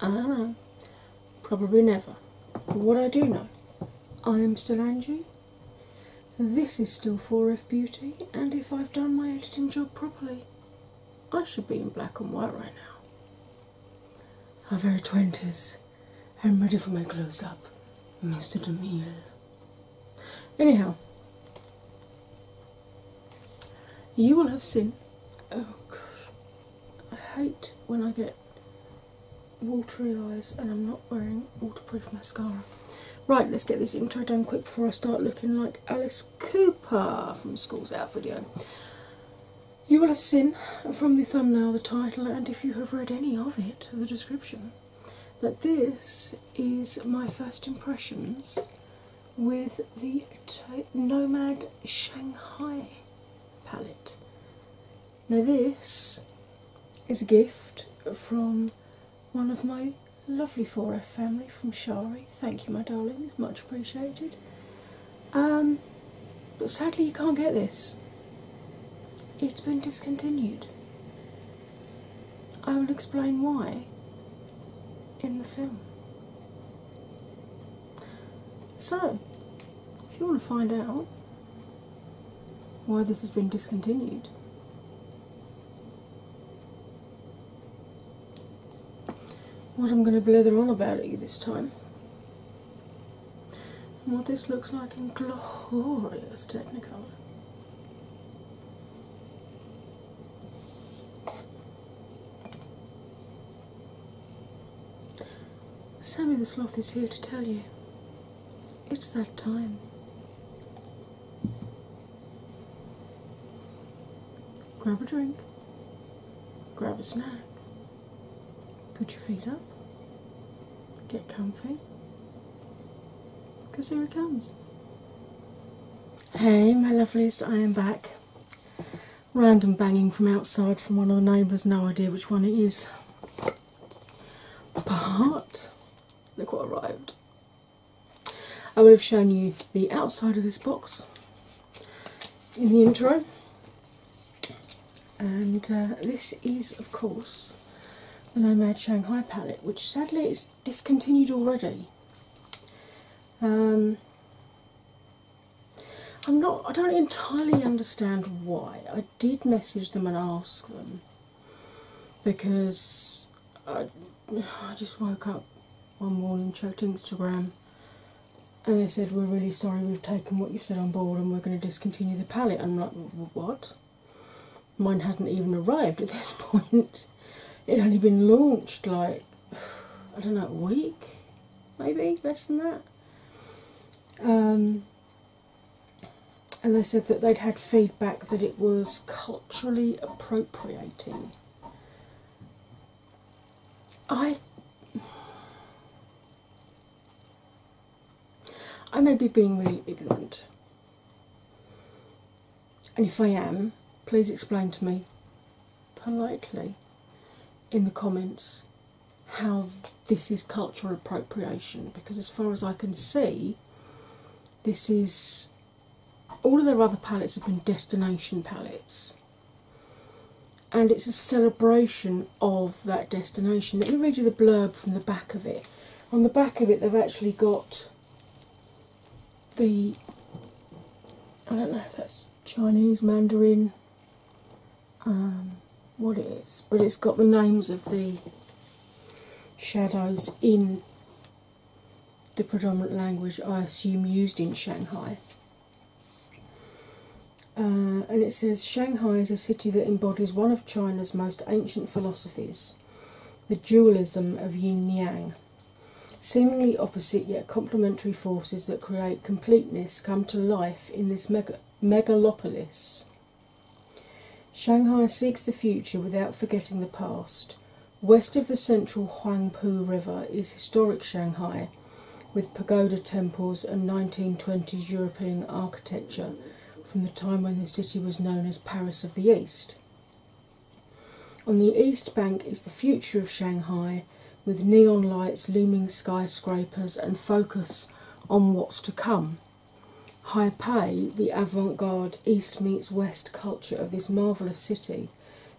I don't know. Probably never. But what I do know, I am still Angie. This is still 4F Beauty, and if I've done my editing job properly, I should be in black and white right now. Our very 20s. I'm ready for my close up, Mr. DeMille. Anyhow, you will have seen. Oh gosh, I hate when I get watery eyes and I'm not wearing waterproof mascara. Right, let's get this intro done quick before I start looking like Alice Cooper from School's Out video. You will have seen from the thumbnail, the title, and if you have read any of it, the description, that this is my first impressions with the Nomad Shanghai palette. Now, this is a gift from one of my lovely 4F family from Shari. Thank you, my darling, it's much appreciated. Um, but sadly, you can't get this, it's been discontinued. I will explain why in the film. So, if you want to find out why this has been discontinued, what I'm going to blather on about at you this time, and what this looks like in glorious technical. Sammy the Sloth is here to tell you it's that time. Grab a drink, grab a snack, put your feet up, get comfy, because here it comes. Hey, my lovelies, I am back random banging from outside from one of the neighbours, no idea which one it is. But look what arrived. I will have shown you the outside of this box in the intro, and uh, this is, of course, the Nomad Shanghai palette, which sadly is discontinued already. Um, I'm not. I don't entirely understand why. I did message them and ask them because I, just woke up one morning, checked Instagram, and they said we're really sorry. We've taken what you've said on board, and we're going to discontinue the palette. And I'm like, what? Mine hadn't even arrived at this point. It had only been launched like I don't know, a week, maybe less than that. Um, and they said that they'd had feedback that it was culturally appropriating. I I may be being really ignorant. And if I am, please explain to me politely in the comments how this is cultural appropriation because, as far as I can see, this is all of their other palettes have been destination palettes. And it's a celebration of that destination. Let me read you the blurb from the back of it. On the back of it, they've actually got the. I don't know if that's Chinese Mandarin, um, what it is, but it's got the names of the shadows in the predominant language I assume used in Shanghai. Uh, and it says Shanghai is a city that embodies one of China's most ancient philosophies, the dualism of yin yang, Seemingly opposite yet complementary forces that create completeness come to life in this megalopolis. Shanghai seeks the future without forgetting the past. West of the central Huangpu River is historic Shanghai with pagoda temples and 1920s European architecture from the time when the city was known as Paris of the East. On the east bank is the future of Shanghai with neon lights, looming skyscrapers, and focus on what's to come. Taipei, the avant garde East meets West culture of this marvellous city,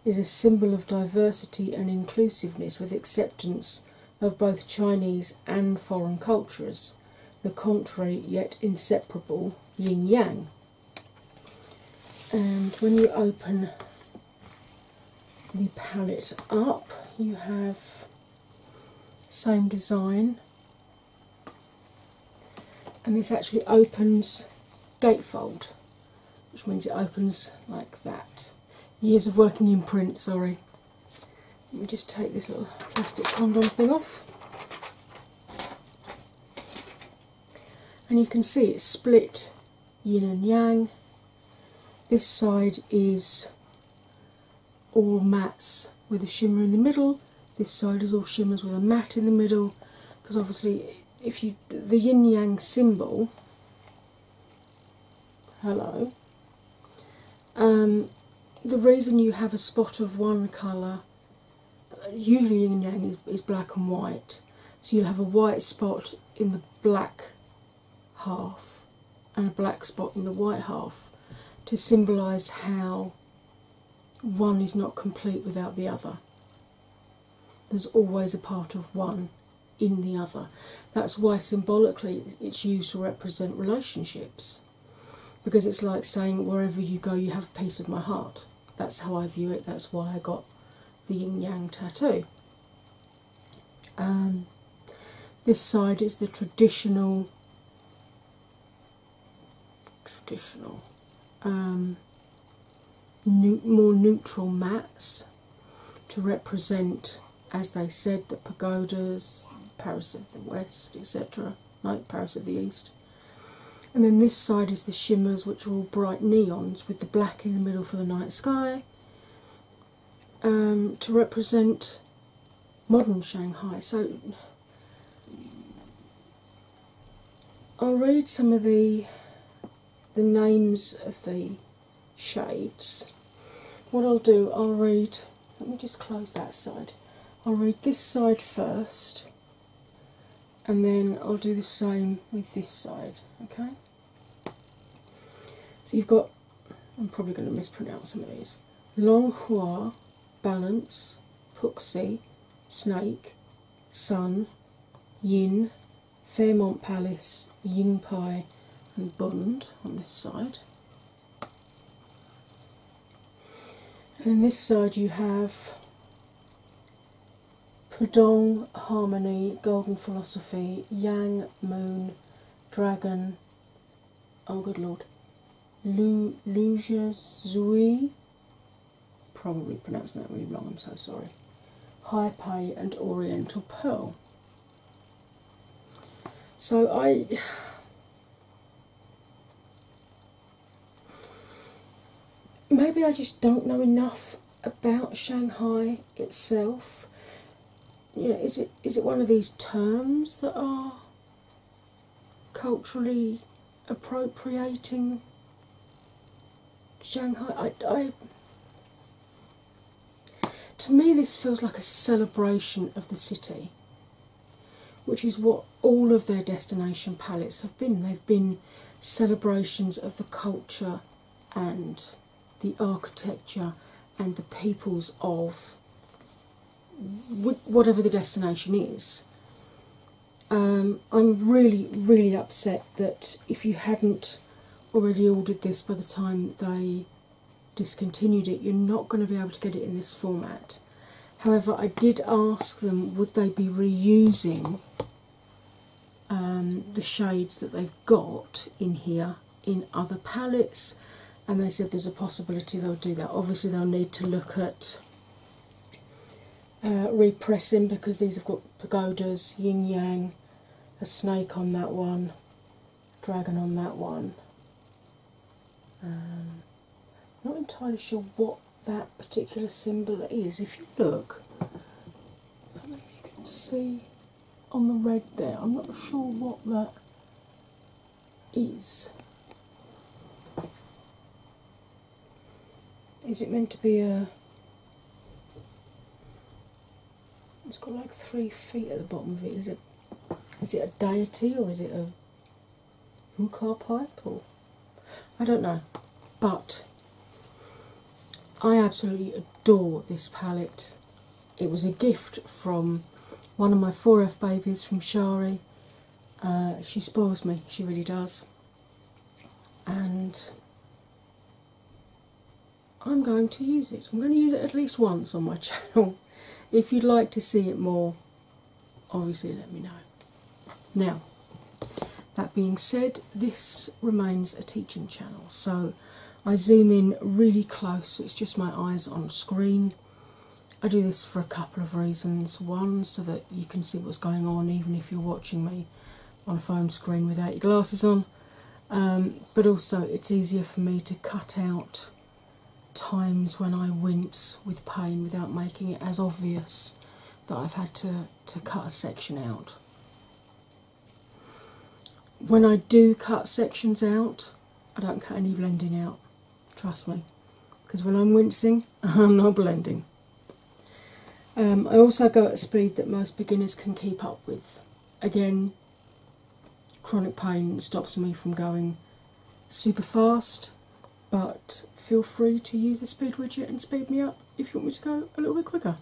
is a symbol of diversity and inclusiveness with acceptance of both Chinese and foreign cultures, the contrary yet inseparable yin yang. And when you open the palette up, you have same design, and this actually opens gatefold, which means it opens like that. Years of working in print, sorry. Let me just take this little plastic condom thing off. And you can see it's split yin and yang. This side is all mattes with a shimmer in the middle. This side is all shimmers with a matte in the middle. Because obviously, if you the yin yang symbol, hello. Um, the reason you have a spot of one colour, usually yin and yang is, is black and white, so you'll have a white spot in the black half and a black spot in the white half to symbolise how one is not complete without the other. There's always a part of one in the other. That's why symbolically it's used to represent relationships because it's like saying, wherever you go, you have a piece of my heart. That's how I view it, that's why I got the yin yang tattoo. Um, this side is the traditional traditional um, more neutral mats to represent as they said the pagodas paris of the west etc like paris of the east and then this side is the shimmers which are all bright neon with the black in the middle for the night sky um, to represent modern Shanghai. So I'll read some of the the names of the shades. What I'll do, I'll read. Let me just close that side. I'll read this side first, and then I'll do the same with this side. Okay. So you've got, I'm probably going to mispronounce some of these Longhua, Balance, Puxi, Snake, Sun, Yin, Fairmont Palace, Yingpai, and Bund on this side. And on this side you have Pudong Harmony, Golden Philosophy, Yang Moon, Dragon, oh good lord, Lu Luja Zui, probably pronounced that really wrong, I'm so sorry, High Pay and Oriental Pearl. So I maybe I just don't know enough about Shanghai itself? You know, is it is it one of these terms that are culturally appropriating Shanghai? I, I to me, this feels like a celebration of the city, which is what all of their destination palettes have been. They've been celebrations of the culture and the architecture and the peoples of whatever the destination is. Um, I'm really, really upset that if you hadn't already ordered this by the time they discontinued it, you're not going to be able to get it in this format. However, I did ask them would they be reusing um, the shades that they've got in here in other palettes, and they said there's a possibility they'll do that. Obviously, they'll need to look at uh, repressing because these have got pagodas, yin yang, a snake on that one, dragon on that one. Um, not entirely sure what that particular symbol is. If you look, I don't know if you can see on the red there, I'm not sure what that is. Is it meant to be a. It's got like three feet at the bottom of it. Is it is it a deity or is it a hookah pipe or I don't know. But I absolutely adore this palette. It was a gift from one of my 4F babies from Shari. Uh, she spoils me, she really does. And I'm going to use it. I'm going to use it at least once on my channel. If you'd like to see it more, obviously let me know. Now, that being said, this remains a teaching channel, so I zoom in really close, it's just my eyes on screen. I do this for a couple of reasons. One, so that you can see what's going on, even if you're watching me on a phone screen without your glasses on, um, but also it's easier for me to cut out times when I wince with pain without making it as obvious that I've had to, to cut a section out when I do cut sections out, I don't cut any blending out, trust me, because when I'm wincing, I'm not blending. Um, I also go at a speed that most beginners can keep up with. Again, chronic pain stops me from going super fast, but feel free to use the speed widget and speed me up if you want me to go a little bit quicker.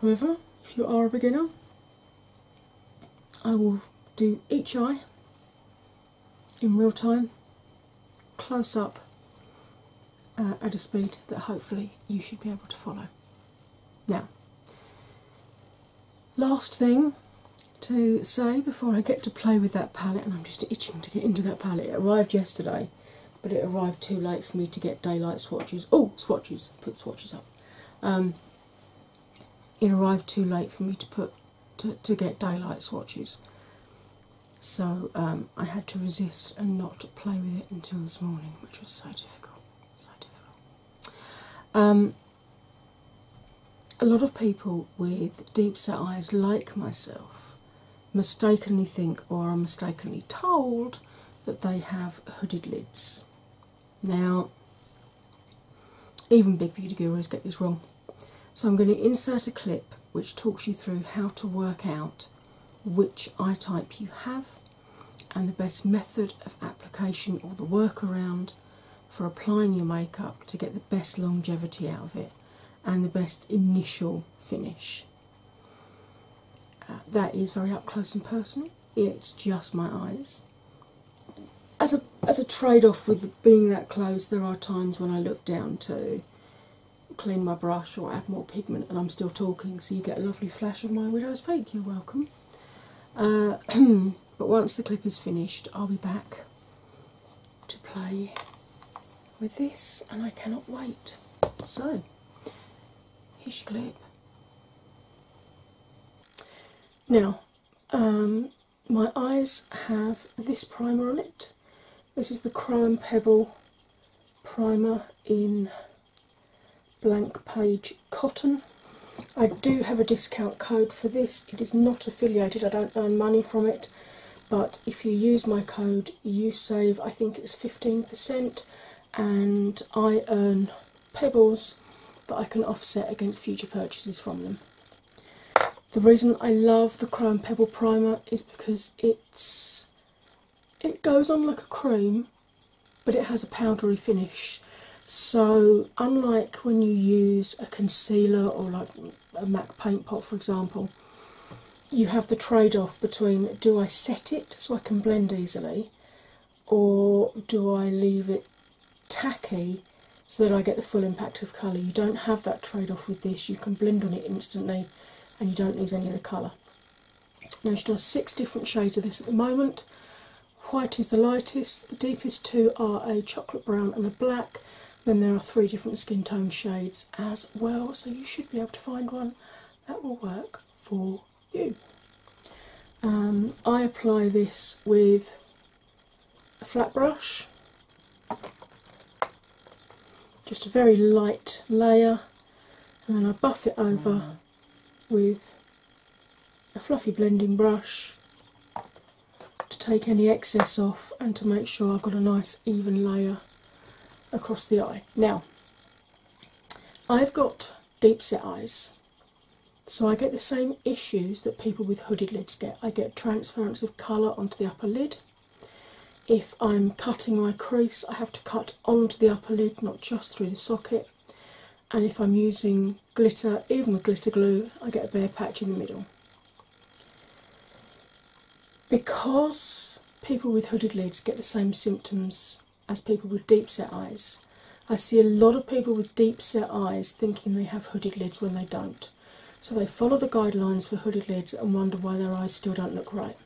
However, if you are a beginner, I will do each eye in real time, close up uh, at a speed that hopefully you should be able to follow. Now, last thing to say before I get to play with that palette, and I'm just itching to get into that palette. It arrived yesterday but it arrived too late for me to get daylight swatches. Oh, swatches! Put swatches up. Um, it arrived too late for me to put to, to get daylight swatches, so um, I had to resist and not play with it until this morning, which was so difficult. So difficult. Um, a lot of people with deep set eyes, like myself, mistakenly think or are mistakenly told that they have hooded lids. Now, even big beauty gurus get this wrong. So, I'm going to insert a clip which talks you through how to work out which eye type you have and the best method of application or the workaround for applying your makeup to get the best longevity out of it and the best initial finish. Uh, that is very up close and personal. It's just my eyes. As a as a trade-off with being that close, there are times when I look down to clean my brush or add more pigment, and I'm still talking, so you get a lovely flash of my widow's peak. You're welcome. Uh, but once the clip is finished, I'll be back to play with this, and I cannot wait. So Here's your Now, um, my eyes have this primer on it. This is the Crown Pebble primer in blank page cotton. I do have a discount code for this. It is not affiliated, I don't earn money from it, but if you use my code you save i think it's 15% and i earn pebbles that i can offset against future purchases from them the reason i love the chrome pebble primer is because it's it goes on like a cream but it has a powdery finish so unlike when you use a concealer or like a mac paint pot for example you have the trade off between do I set it so I can blend easily, or do I leave it tacky so that I get the full impact of colour. You don't have that trade off with this, you can blend on it instantly and you don't lose any of the colour. Now, she does six different shades of this at the moment. White is the lightest, the deepest two are a chocolate brown and a black. Then there are three different skin tone shades as well, so you should be able to find one that will work for you. Um, I apply this with a flat brush, just a very light layer, and then I buff it over mm. with a fluffy blending brush to take any excess off and to make sure I've got a nice even layer across the eye. Now, I've got deep set eyes, so I get the same issues that people with hooded lids get. I get transference of colour onto the upper lid. If I'm cutting my crease, I have to cut onto the upper lid, not just through the socket. And if I'm using glitter, even with glitter glue, I get a bare patch in the middle because people with hooded lids get the same symptoms as people with deep set eyes, I see a lot of people with deep set eyes thinking they have hooded lids when they don't. So they follow the guidelines for hooded lids and wonder why their eyes still don't look right.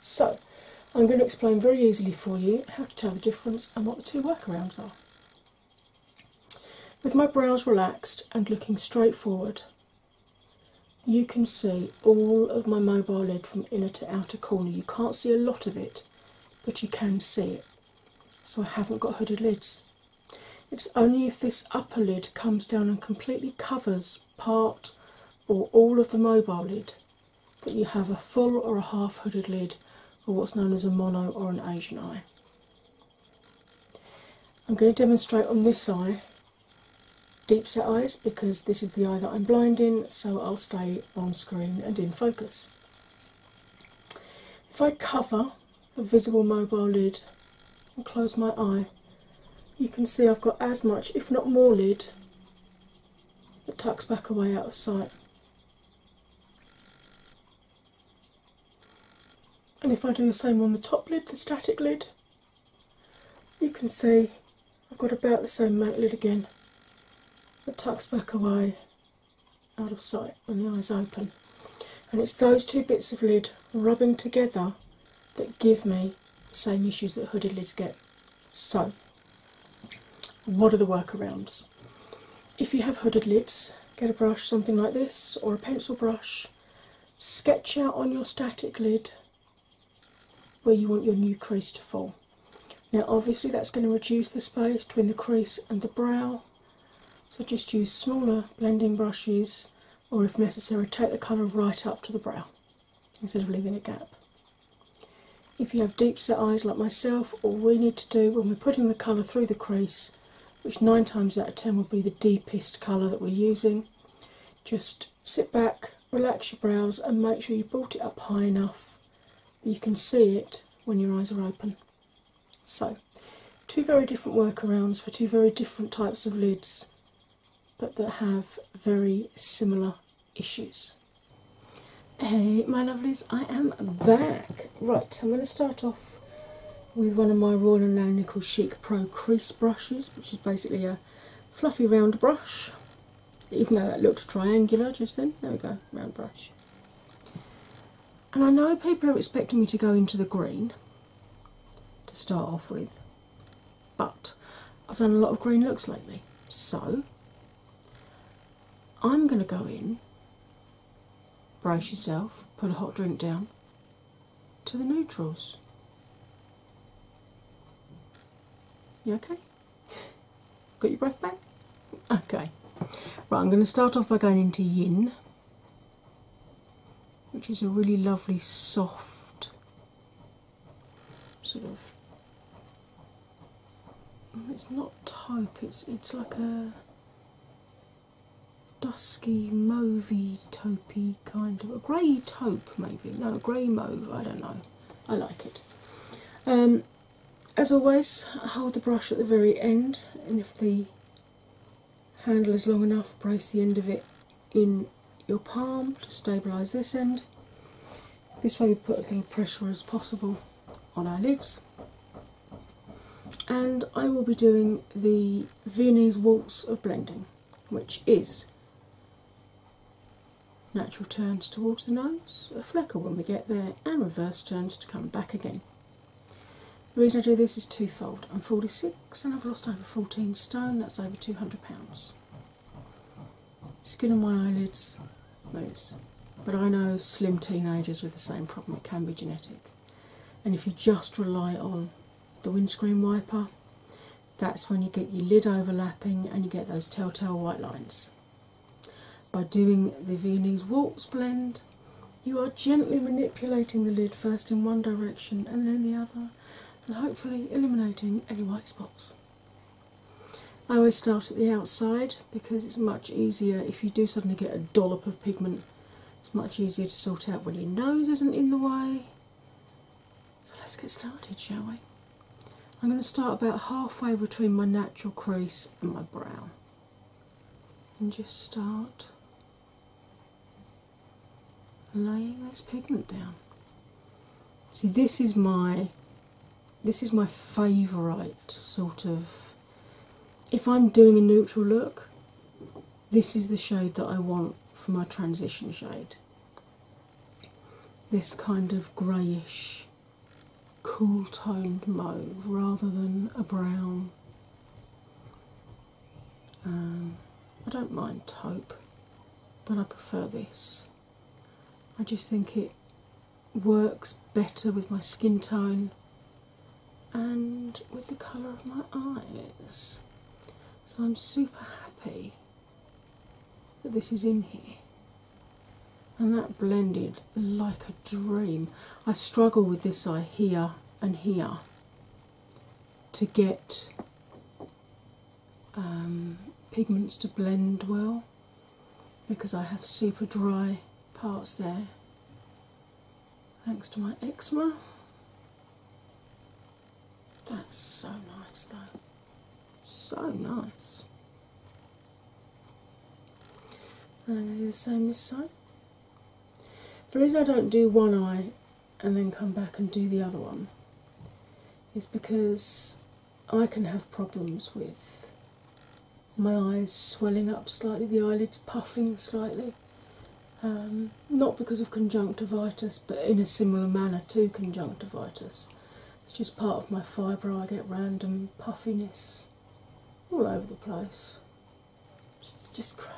So I'm going to explain very easily for you how to tell the difference and what the two workarounds are. With my brows relaxed and looking straight forward, you can see all of my mobile lid from inner to outer corner. You can't see a lot of it, but you can see it. So I haven't got hooded lids. It's only if this upper lid comes down and completely covers part or all of the mobile lid that you have a full or a half hooded lid or what's known as a mono or an Asian eye. I'm going to demonstrate on this eye deep set eyes because this is the eye that I'm blinding, so I'll stay on screen and in focus. If I cover the visible mobile lid and close my eye, you can see I've got as much, if not more, lid that tucks back away out of sight. And if I do the same on the top lid, the static lid, you can see I've got about the same mantlid again that tucks back away out of sight when the eyes open. And it's those two bits of lid rubbing together that give me the same issues that hooded lids get. So, what are the workarounds? If you have hooded lids, get a brush, something like this, or a pencil brush, sketch out on your static lid where you want your new crease to fall. Now, obviously, that's going to reduce the space between the crease and the brow, so just use smaller blending brushes, or if necessary, take the colour right up to the brow instead of leaving a gap. If you have deep set eyes like myself, all we need to do when we're putting the colour through the crease, which nine times out of ten will be the deepest colour that we're using, just sit back, relax your brows, and make sure you brought it up high enough that you can see it when your eyes are open. So, two very different workarounds for two very different types of lids, but that have very similar issues. Hey, my lovelies, I am back. Right, I'm going to start off with one of my Royal and Low Nickel Chic Pro crease brushes, which is basically a fluffy round brush, even though that looked triangular just then. There we go, round brush. And I know people are expecting me to go into the green to start off with, but I've done a lot of green looks lately, so I'm going to go in, brace yourself, put a hot drink down, to the neutrals. You okay? Got your breath back? Okay. Right, I'm going to start off by going into yin, which is a really lovely, soft sort of. Mm, it's not taupe. It's it's like a dusky, mauvey taupey kind of a grey taupe maybe no grey mauve I don't know I like it. Um, as always, hold the brush at the very end, and if the handle is long enough, brace the end of it in your palm to stabilise this end. This way, we put as little pressure as possible on our lids. And I will be doing the Viennese Waltz of Blending, which is Natural turns towards the nose, a flecker when we get there, and reverse turns to come back again. The reason I do this is twofold. I'm 46 and I've lost over 14 stone, that's over 200 pounds. Skin on my eyelids moves, but I know slim teenagers with the same problem, it can be genetic. And if you just rely on the windscreen wiper, that's when you get your lid overlapping and you get those telltale white lines. By doing the Viennese Waltz blend, you are gently manipulating the lid first in one direction and then the other, and hopefully eliminating any white spots. I always start at the outside because it's much easier if you do suddenly get a dollop of pigment, it's much easier to sort out when your nose isn't in the way. So let's get started, shall we? I'm going to start about halfway between my natural crease and my brow and just start laying this pigment down. See this is my this is my favourite sort of if I'm doing a neutral look, this is the shade that I want for my transition shade this kind of greyish, cool toned mauve rather than a brown. Um, I don't mind taupe, but I prefer this. I just think it works better with my skin tone and with the colour of my eyes. So I'm super happy that this is in here. And that blended like a dream. I struggle with this eye here and here to get um, pigments to blend well because I have super dry parts there thanks to my eczema. That's so nice, though. So nice. And I'm going to do the same this side. The reason I don't do one eye and then come back and do the other one is because I can have problems with my eyes swelling up slightly, the eyelids puffing slightly, um, not because of conjunctivitis, but in a similar manner to conjunctivitis. It's just part of my fibre. I get random puffiness all over the place. It's just great.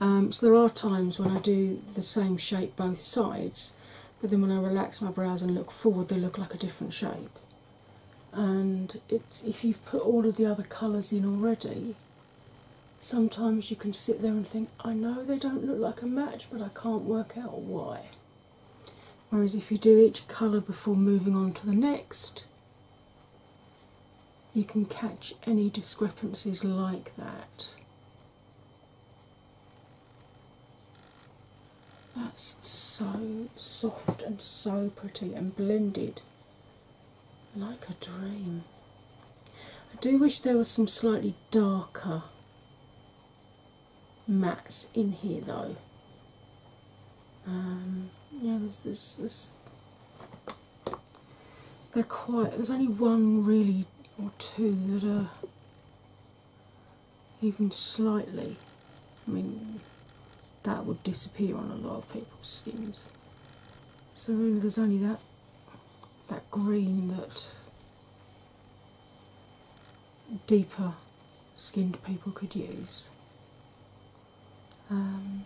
Um, so there are times when I do the same shape both sides, but then when I relax my brows and look forward, they look like a different shape. And it's if you've put all of the other colours in already, sometimes you can sit there and think, I know they don't look like a match, but I can't work out why. Whereas if you do each colour before moving on to the next, you can catch any discrepancies like that. That's so soft and so pretty and blended like a dream. I do wish there was some slightly darker mattes in here though. Um, yeah, there's this, They're quite. There's only one really or two that are even slightly. I mean, that would disappear on a lot of people's skins. So there's only that that green that deeper skinned people could use. Um,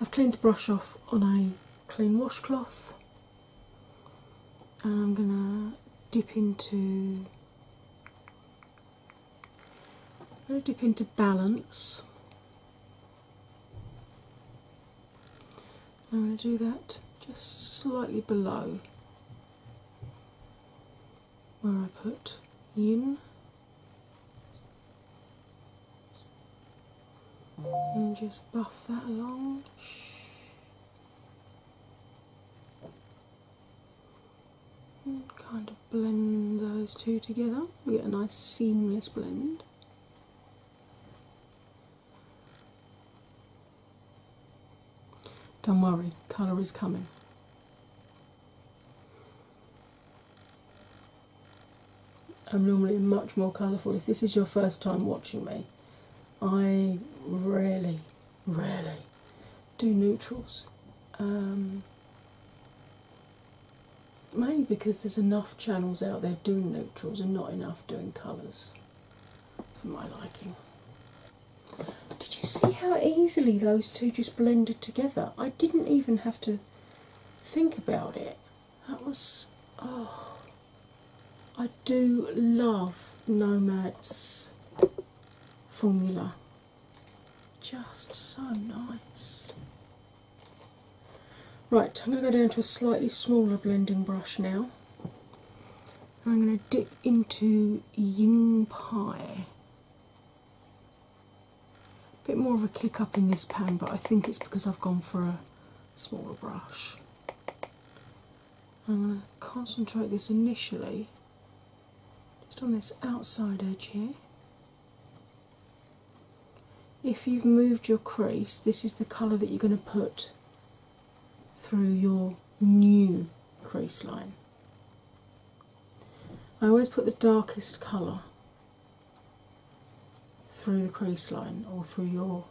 I've cleaned the brush off on a clean washcloth and I'm going to dip into I'm going to dip into balance I'm going to do that just slightly below where I put yin and just buff that along. And kind of blend those two together. We get a nice seamless blend. Don't worry, colour is coming. I'm normally much more colourful. If this is your first time watching me, I really, really do neutrals. Um, mainly because there's enough channels out there doing neutrals and not enough doing colours for my liking. Did you see how easily those two just blended together? I didn't even have to think about it. That was. Oh. I do love Nomad's formula. Just so nice. Right, I'm going to go down to a slightly smaller blending brush now. I'm going to dip into Ying Pie. A bit more of a kick up in this pan, but I think it's because I've gone for a smaller brush. I'm going to concentrate this initially just on this outside edge here if you've moved your crease, this is the colour that you're going to put through your new crease line. I always put the darkest colour through the crease line or through your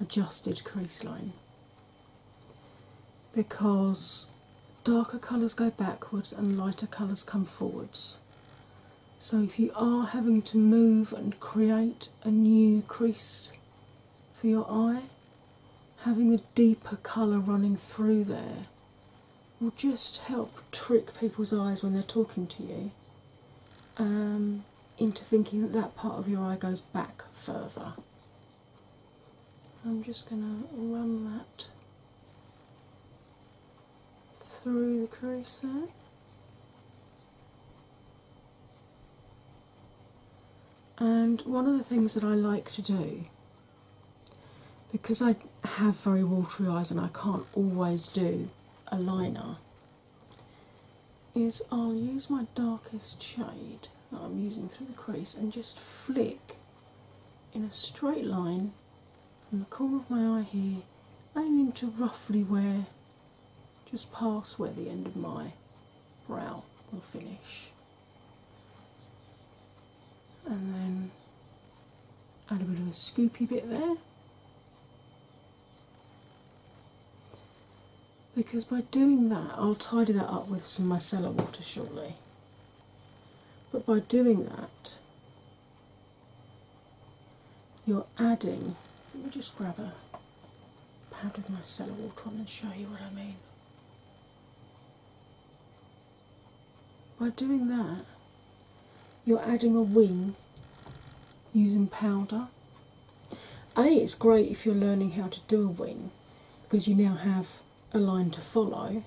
adjusted crease line because darker colours go backwards and lighter colours come forwards. So, if you are having to move and create a new crease for your eye, having a deeper colour running through there will just help trick people's eyes when they're talking to you um, into thinking that that part of your eye goes back further. I'm just going to run that through the crease crochet and one of the things that I like to do because I have very watery eyes and I can't always do a liner is I'll use my darkest shade that I'm using through the crease and just flick in a straight line from the corner of my eye here aiming to roughly where just past where the end of my brow will finish. And then add a bit of a scoopy bit there. Because by doing that, I'll tidy that up with some micellar water shortly. But by doing that, you're adding. Let me just grab a pad of my cellar water on and show you what I mean. By doing that, you're adding a wing using powder. A, it's great if you're learning how to do a wing because you now have a line to follow,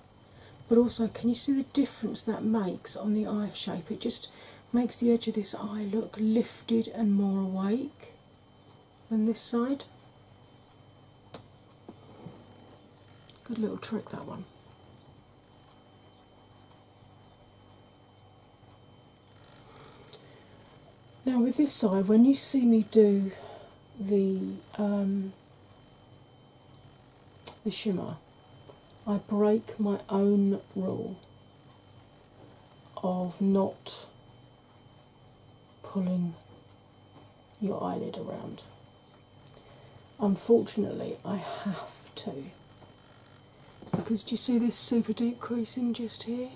but also, can you see the difference that makes on the eye shape? It just makes the edge of this eye look lifted and more awake than this side. Good little trick, that one. Now, with this side, when you see me do the um, the shimmer, I break my own rule of not pulling your eyelid around. Unfortunately, I have to because do you see this super deep creasing just here?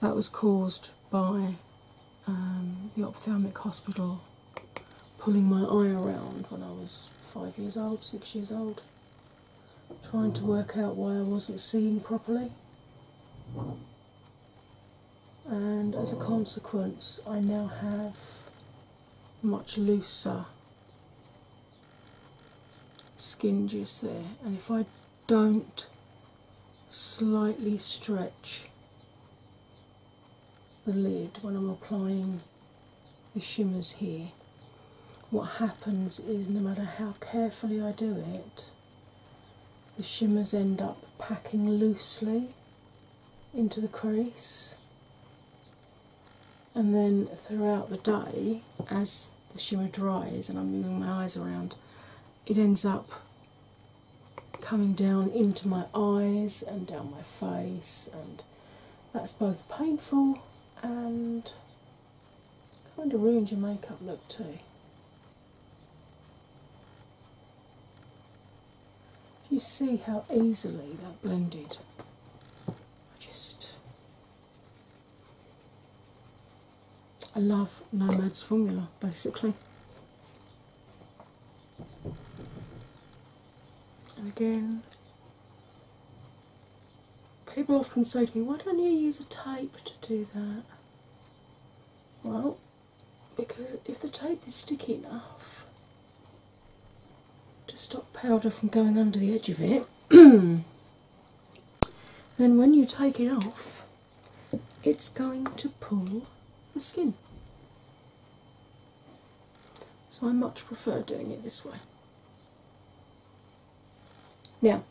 That was caused by um, the ophthalmic hospital pulling my eye around when I was five years old, six years old, trying to work out why I wasn't seeing properly. And as a consequence, I now have much looser skin just there. And if I don't slightly stretch the lid when I'm applying the shimmers here, what happens is no matter how carefully I do it, the shimmers end up packing loosely into the crease. And then throughout the day, as the shimmer dries and I'm moving my eyes around, it ends up coming down into my eyes and down my face and that's both painful and kind of ruins your makeup look too. you see how easily that blended? I just I love Nomad's formula basically. And again, people often say to me, Why don't you use a tape to do that? Well, because if the tape is sticky enough to stop powder from going under the edge of it, then when you take it off, it's going to pull the skin. So I much prefer doing it this way. Now,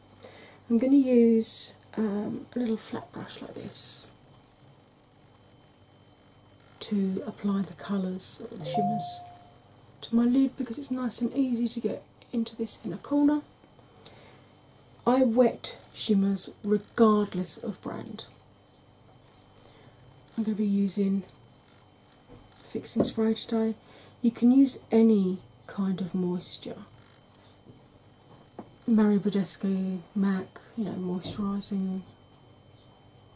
I'm going to use um, a little flat brush like this to apply the colours, the shimmers, to my lid because it's nice and easy to get into this inner corner. I wet shimmers regardless of brand. I'm going to be using fixing spray today. You can use any kind of moisture. Mary Badescu, MAC, you know, moisturising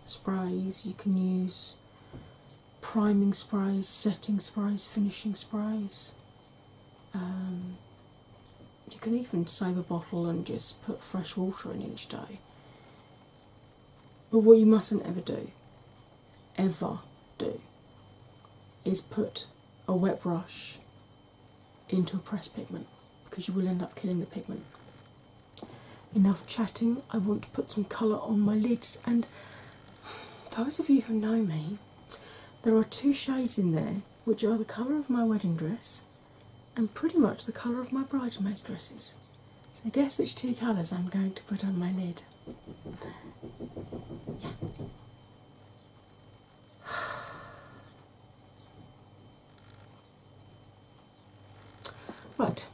sprays. You can use priming sprays, setting sprays, finishing sprays. Um, you can even save a bottle and just put fresh water in each day. But what you mustn't ever do, ever do, is put a wet brush into a pressed pigment because you will end up killing the pigment. Enough chatting, I want to put some colour on my lids, and those of you who know me, there are two shades in there which are the colour of my wedding dress and pretty much the colour of my bridesmaids' dresses. So, guess which two colours I'm going to put on my lid? Yeah. Right,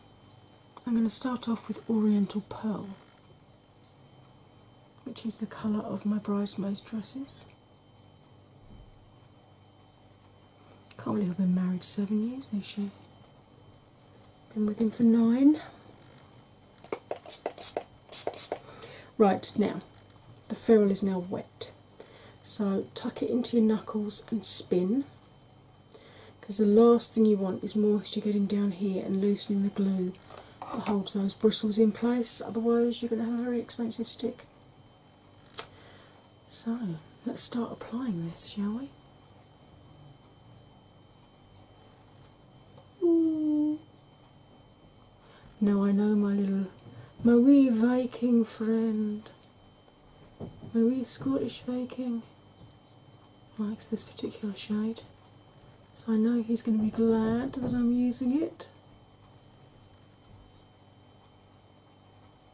I'm going to start off with Oriental Pearl, which is the colour of my bridesmaids' dresses. Can't believe I've been married seven years this year. Been with him for nine. Right now, the ferrule is now wet, so tuck it into your knuckles and spin because the last thing you want is moisture getting down here and loosening the glue that holds those bristles in place, otherwise, you're going to have a very expensive stick. So let's start applying this, shall we? Now I know my little, my wee Viking friend, my wee Scottish Viking likes this particular shade, so I know he's going to be glad that I'm using it.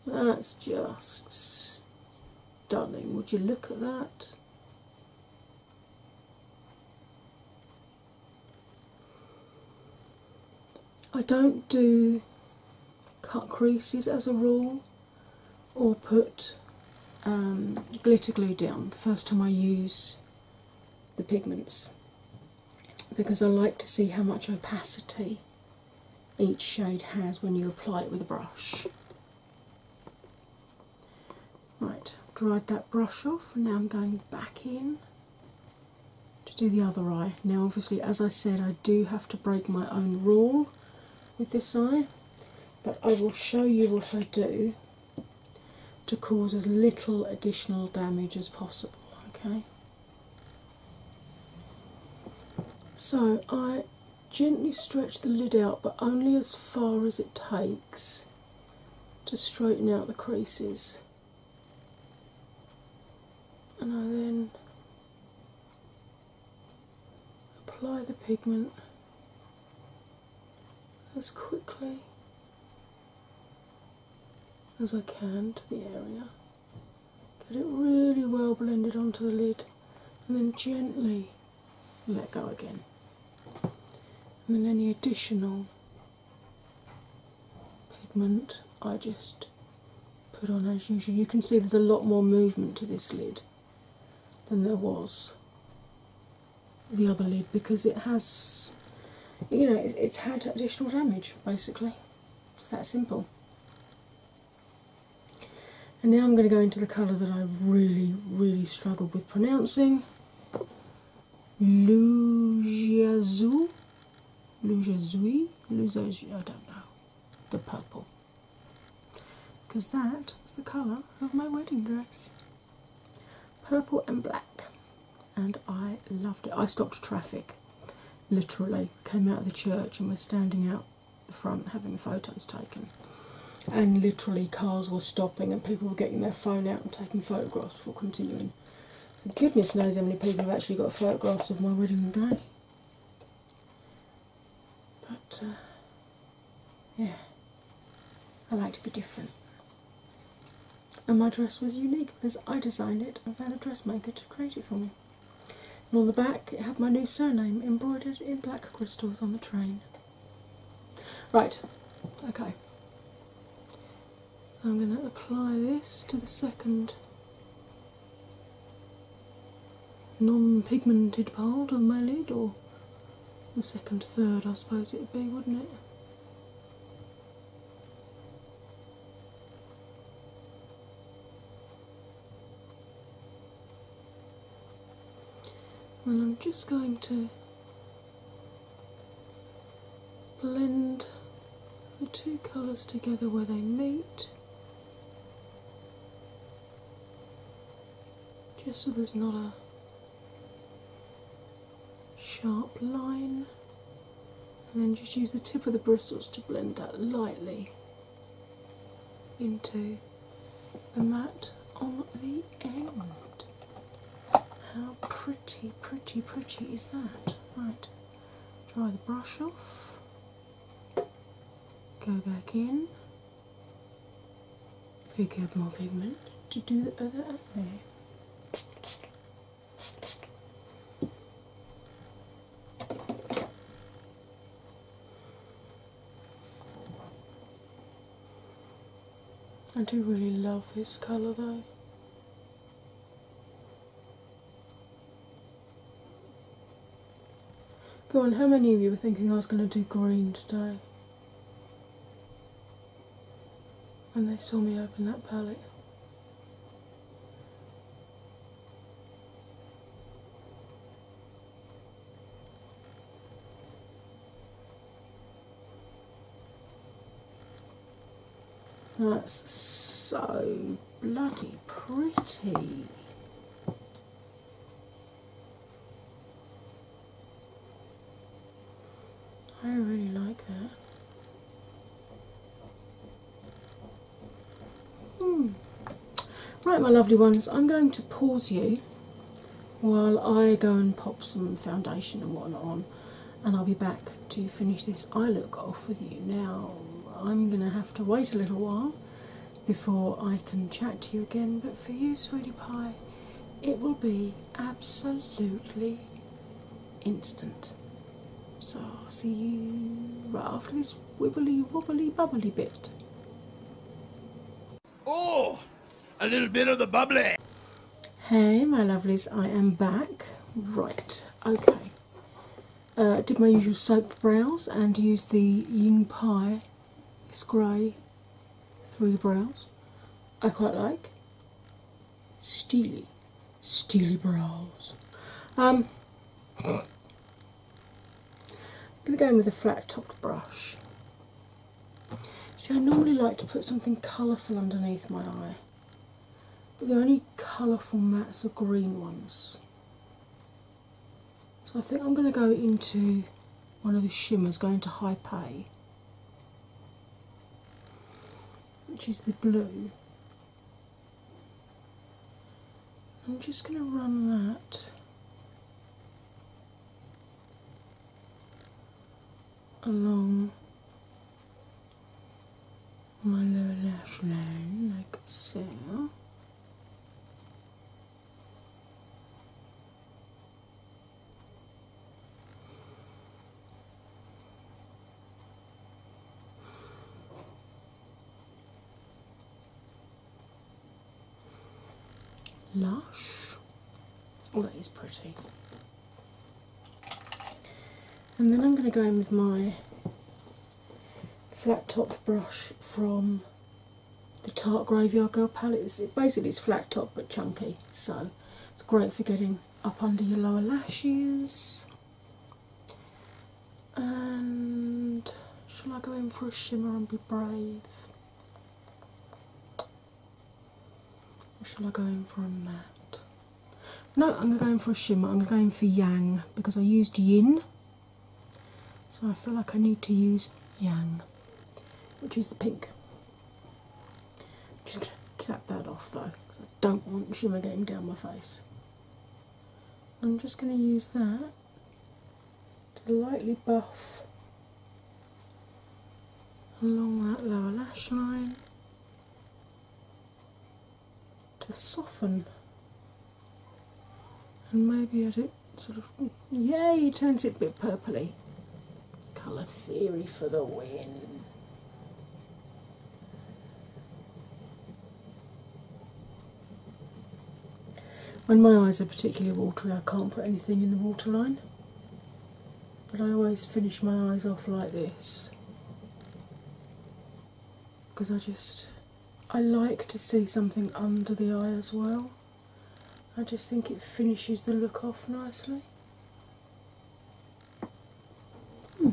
That's just stunning. Would you look at that? I don't do cut creases as a rule or put um, glitter glue down the first time I use the pigments because I like to see how much opacity each shade has when you apply it with a brush. Right, dried that brush off, now I'm going back in to do the other eye. Now, obviously, as I said, I do have to break my own rule with this eye, but I will show you what I do to cause as little additional damage as possible. Okay, so I Gently stretch the lid out, but only as far as it takes to straighten out the creases. And I then apply the pigment as quickly as I can to the area. Get it really well blended onto the lid and then gently let go again. And then any additional pigment I just put on as usual. You can see there's a lot more movement to this lid than there was the other lid because it has you know it's, it's had additional damage basically. It's that simple. And now I'm going to go into the colour that I really, really struggled with pronouncing. Lujiazou, Lujazoui, Lujazoui, I don't know, the purple. Because that is the colour of my wedding dress. Purple and black. And I loved it. I stopped traffic, literally, came out of the church and was standing out the front having photos taken. And literally, cars were stopping and people were getting their phone out and taking photographs for continuing. goodness knows how many people have actually got photographs of my wedding day. But, uh, yeah, I like to be different. And my dress was unique because I designed it and found a dressmaker to create it for me. And on the back, it had my new surname embroidered in black crystals on the train. Right, okay. I'm going to apply this to the second non pigmented part of my lid, or the second third, I suppose it would be, wouldn't it? and I'm just going to blend the two colours together where they meet just so there's not a sharp line and then just use the tip of the bristles to blend that lightly into the mat on the end. How pretty, pretty, pretty is that? Right, dry the brush off, go back in, pick up more pigment to do the other eye. I do really love this colour though. Go on, how many of you were thinking I was going to do green today? when they saw me open that palette. That's so bloody pretty. I really like that. Hmm. Right, my lovely ones, I'm going to pause you while I go and pop some foundation and whatnot on, and I'll be back to finish this eye look off with you. Now, I'm going to have to wait a little while before I can chat to you again, but for you, sweetie pie, it will be absolutely instant. So I'll see you right after this wibbly wobbly bubbly bit. Oh, a little bit of the bubbly. Hey, my lovelies, I am back. Right, okay. Uh, did my usual soap brows and use the Ying Pie It's grey three brows. I quite like steely, steely brows. Um, I'm going to go in with a flat topped brush. See, I normally like to put something colourful underneath my eye, but the only colourful mats are green ones. So I think I'm going to go into one of the shimmers, going to High Pay, which is the blue. I'm just going to run that along my lower lash line like so. Lush. Oh, that is pretty. And then I'm going to go in with my flat top brush from the Tart Graveyard Girl palette. it basically, it's flat top but chunky, so it's great for getting up under your lower lashes. And shall I go in for a shimmer and be brave? shall I go in for a matte? No, I'm going for a shimmer. I'm going for yang because I used yin. So I feel like I need to use yang, which is the pink. Just tap that off though because I don't want shimmer getting down my face. I'm just going to use that to lightly buff along that lower lash line to soften and maybe add it sort of yay turns it a bit purpley colour theory for the win when my eyes are particularly watery, I can't put anything in the waterline, but I always finish my eyes off like this because I just I like to see something under the eye as well. I just think it finishes the look off nicely. Hmm.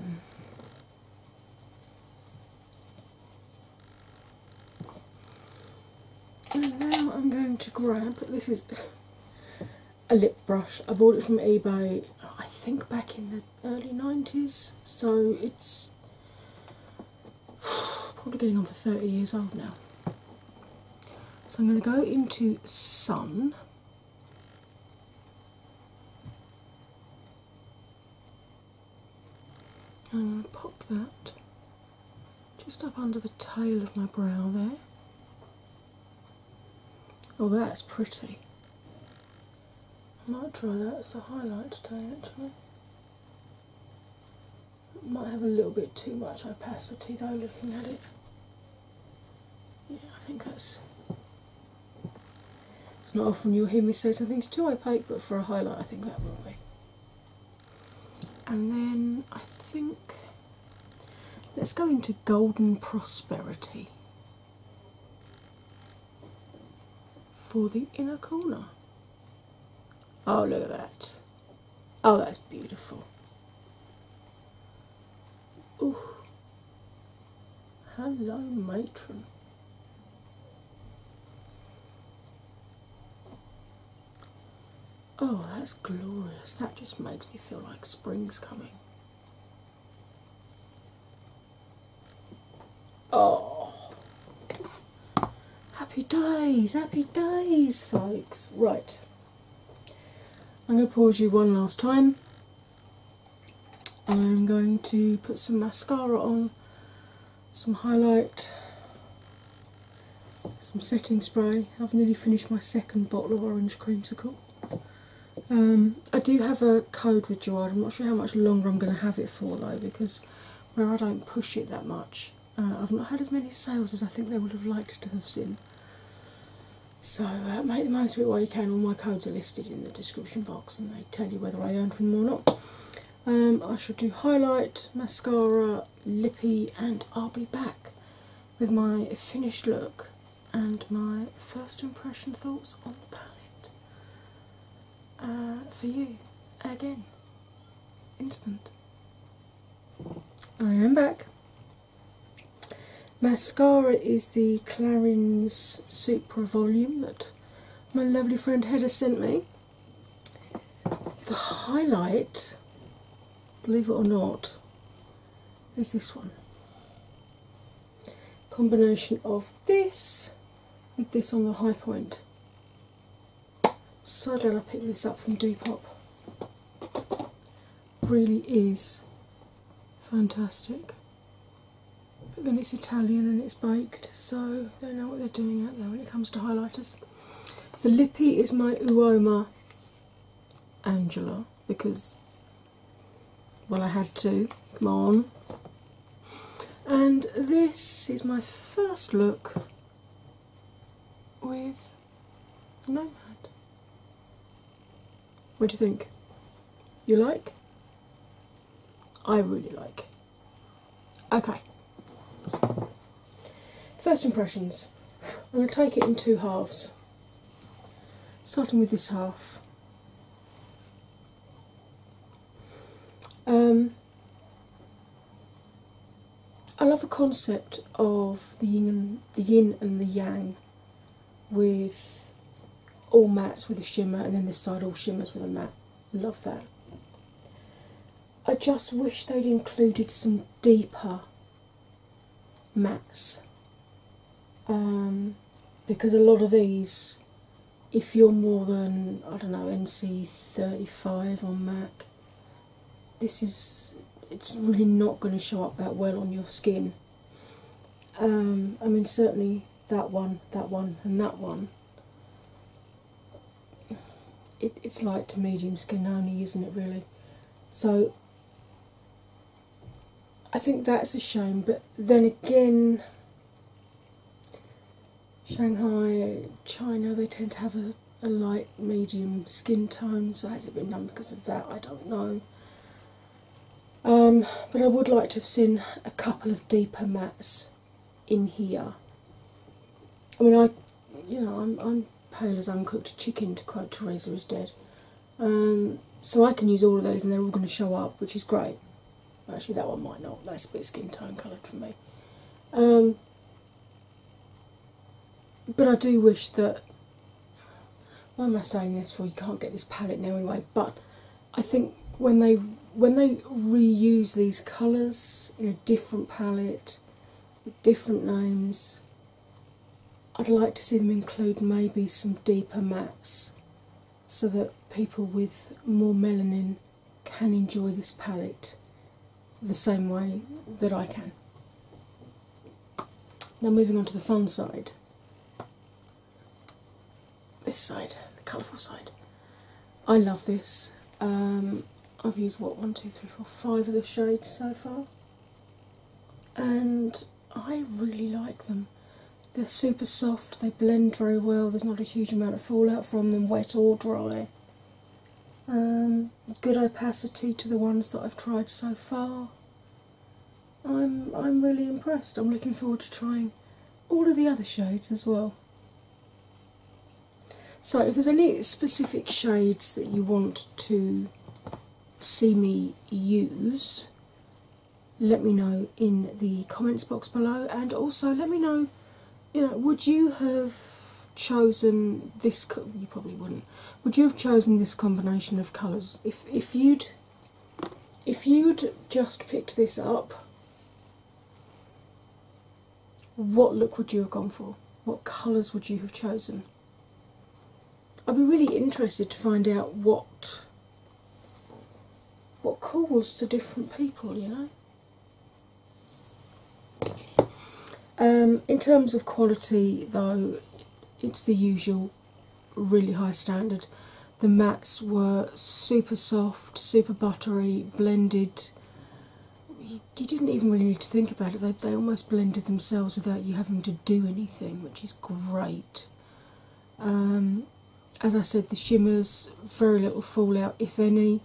And now I'm going to grab this is a lip brush. I bought it from eBay I think back in the early 90s, so it's probably getting on for 30 years old now. So I'm going to go into Sun. I'm going to pop that just up under the tail of my brow there. Oh, that's pretty. I might try that as a highlight today actually. It might have a little bit too much opacity though, looking at it. Yeah, I think that's. It's not often you'll hear me say something's too opaque, but for a highlight, I think that will be. And then I think let's go into Golden Prosperity for the inner corner. Oh, look at that! Oh, that's beautiful. Ooh. Hello, matron. Oh, that's glorious. That just makes me feel like spring's coming. Oh, happy days, happy days, folks. Right, I'm going to pause you one last time. I'm going to put some mascara on some highlight, some setting spray. I've nearly finished my second bottle of orange creamsicle. Um, I do have a code with Gerard. I'm not sure how much longer I'm going to have it for though, because where I don't push it that much, uh, I've not had as many sales as I think they would have liked to have seen. So uh, make the most of it while you can. All my codes are listed in the description box, and they tell you whether I earned from them or not. Um, I shall do highlight, mascara, lippy, and I'll be back with my finished look and my first impression thoughts on the palette uh, for you again. Instant. I am back. Mascara is the Clarins Supra volume that my lovely friend Heda sent me. The highlight, believe it or not, is this one. Combination of this with this on the high point. So glad I picked this up from Depop. Really is fantastic. But then it's Italian and it's by so they know what they're doing out there when it comes to highlighters. The lippy is my Uoma Angela because, well, I had to. Come on. And this is my first look with Nomad. What do you think? You like? I really like. Okay. First impressions. I'm going to take it in two halves. Starting with this half. Um, I love the concept of the yin and the yin and the yang, with all mattes with a shimmer, and then this side all shimmers with a matte. Love that. I just wish they'd included some deeper mattes um, because a lot of these, if you're more than, I don't know, NC35 on MAC, this is it's really not going to show up that well on your skin. Um, I mean, certainly that one, that one, and that one it's light to medium skin only, isn't it, really? So I think that's a shame, but then again, Shanghai, China, they tend to have a, light medium skin tone, so has it been done because of that? I don't know. Um, but I would like to have seen a couple of deeper mattes in here. I mean, I, you know, I'm, I'm pale as uncooked chicken, to quote Teresa is dead. Um, so I can use all of those, and they're all going to show up, which is great. Actually, that one might not. That's a bit skin tone coloured for me. Um, but I do wish that. Why am I saying this? For you can't get this palette now anyway. But I think when they when they reuse these colours in a different palette with different names, I'd like to see them include maybe some deeper mattes so that people with more melanin can enjoy this palette the same way that I can. Now, moving on to the fun side this side, the colourful side. I love this. Um, I've used what one, two, three, four, five of the shades so far, and I really like them. They're super soft, they blend very well, there's not a huge amount of fallout from them, wet or dry. Um, good opacity to the ones that I've tried so far. I'm I'm really impressed. I'm looking forward to trying all of the other shades as well. So, if there's any specific shades that you want to see me use, let me know in the comments box below, and also let me know you know, would you have chosen this? You probably wouldn't. Would you have chosen this combination of colours if if you'd if you'd just picked this up what look would you have gone for? What colours would you have chosen? I'd be really interested to find out what what calls to different people, you know. Um, in terms of quality, though, it's the usual really high standard. The mats were super soft, super buttery, blended you, didn't even really need to think about it. They, they almost blended themselves without you having to do anything, which is great. Um, as I said, the shimmers, very little fallout, if any,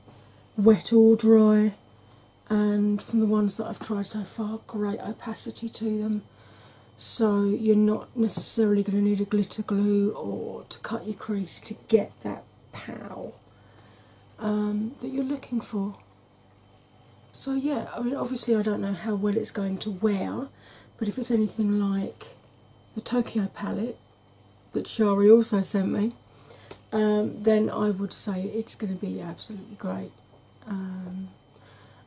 wet or dry. And from the ones that I've tried so far, great opacity to them. So you're not necessarily going to need a glitter glue or to cut your crease to get that pow um, that you're looking for. So, yeah, I mean, obviously, I don't know how well it's going to wear, but if it's anything like the Tokyo palette that Shari also sent me, um, then I would say it's going to be absolutely great. Um,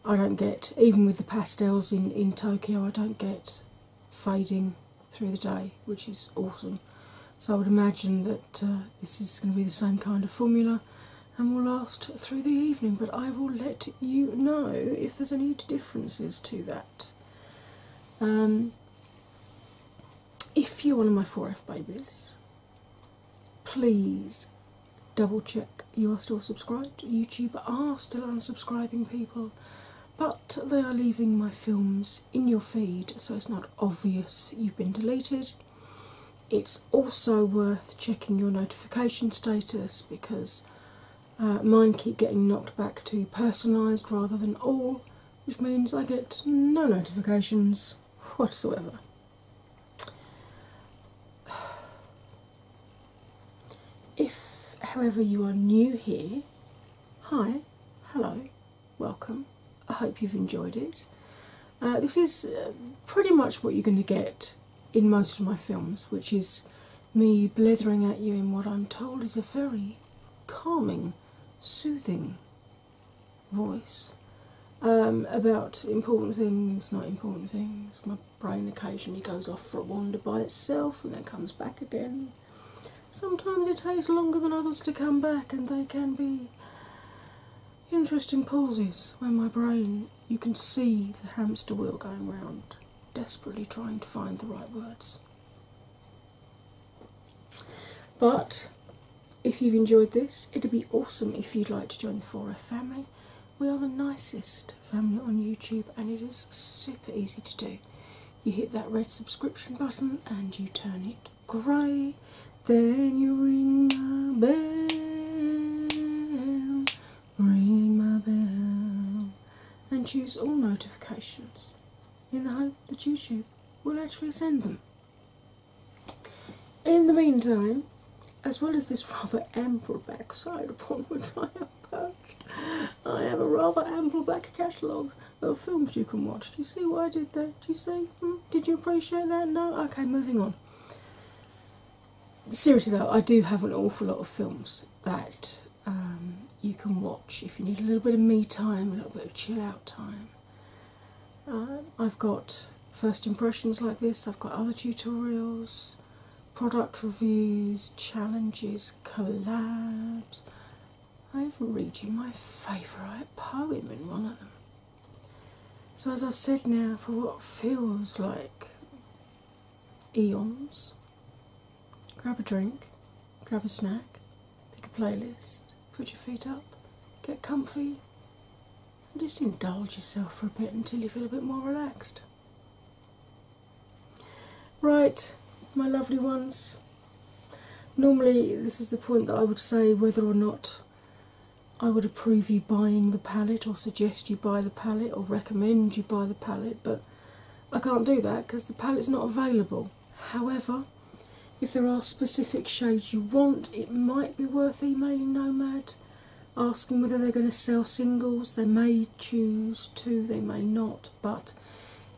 I don't get, even with the pastels in, in Tokyo, I don't get fading through the day, which is awesome. So I would imagine that uh, this is going to be the same kind of formula and will last through the evening, but I will let you know if there's any differences to that. Um, if you're one of my 4F babies, please double check you are still subscribed. YouTube are still unsubscribing people, but they are leaving my films in your feed so it's not obvious you've been deleted. It's also worth checking your notification status because uh, mine keep getting knocked back to personalised rather than all, which means I get no notifications whatsoever. If, however, you are new here Hi, hello, welcome. I hope you've enjoyed it. Uh, this is uh, pretty much what you're going to get in most of my films, which is me blethering at you in what I'm told is a very calming, soothing voice um, about important things, not important things. My brain occasionally goes off for a wander by itself and then comes back again. Sometimes it takes longer than others to come back, and they can be interesting pauses where my brain you can see the hamster wheel going round, desperately trying to find the right words. But if you've enjoyed this, it'd be awesome if you'd like to join the 4F family. We are the nicest family on YouTube and it is super easy to do you hit that red subscription button and you turn it grey. Then you ring my bell, ring my bell, and choose all notifications in the hope that YouTube will actually send them. In the meantime, as well as this rather ample backside upon which I am perched, I have a rather ample back catalogue of films you can watch. Do you see what I did there? Do you see? Hmm? Did you appreciate that? No? Okay, moving on. Seriously though, I do have an awful lot of films that um, you can watch if you need a little bit of me time, a little bit of chill out time. Uh, I've got first impressions like this, I've got other tutorials, product reviews, challenges, collabs, I've read you my favourite poem in one of them. So, as I've said now, for what feels like eons, grab a drink, grab a snack, pick a playlist, put your feet up, get comfy, and just indulge yourself for a bit until you feel a bit more relaxed. Right, my lovely ones. Normally, this is the point that I would say whether or not I would approve you buying the palette, or suggest you buy the palette, or recommend you buy the palette, but I can't do that because the palette's not available. However, if there are specific shades you want, it might be worth emailing Nomad, asking whether they're going to sell singles. They may choose to, they may not but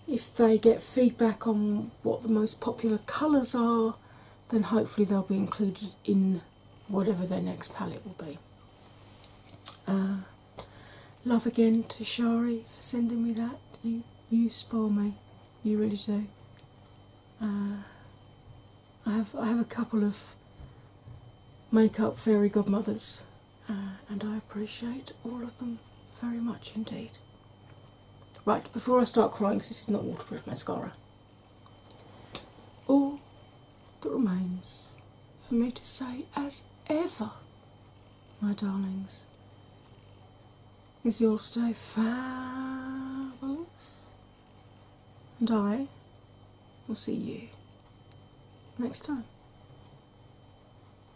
if they get feedback on what the most popular colours are, then hopefully they'll be included in whatever their next palette will be. Uh, love again to Shari for sending me that. You spoil me. You really do. Uh, I have I have a couple of makeup fairy godmothers uh, and I appreciate all of them very much indeed. Right, before I start crying, because this is not waterproof mascara, all that remains for me to say, as ever, my darlings, is you'll stay fabulous, and I will see you next time.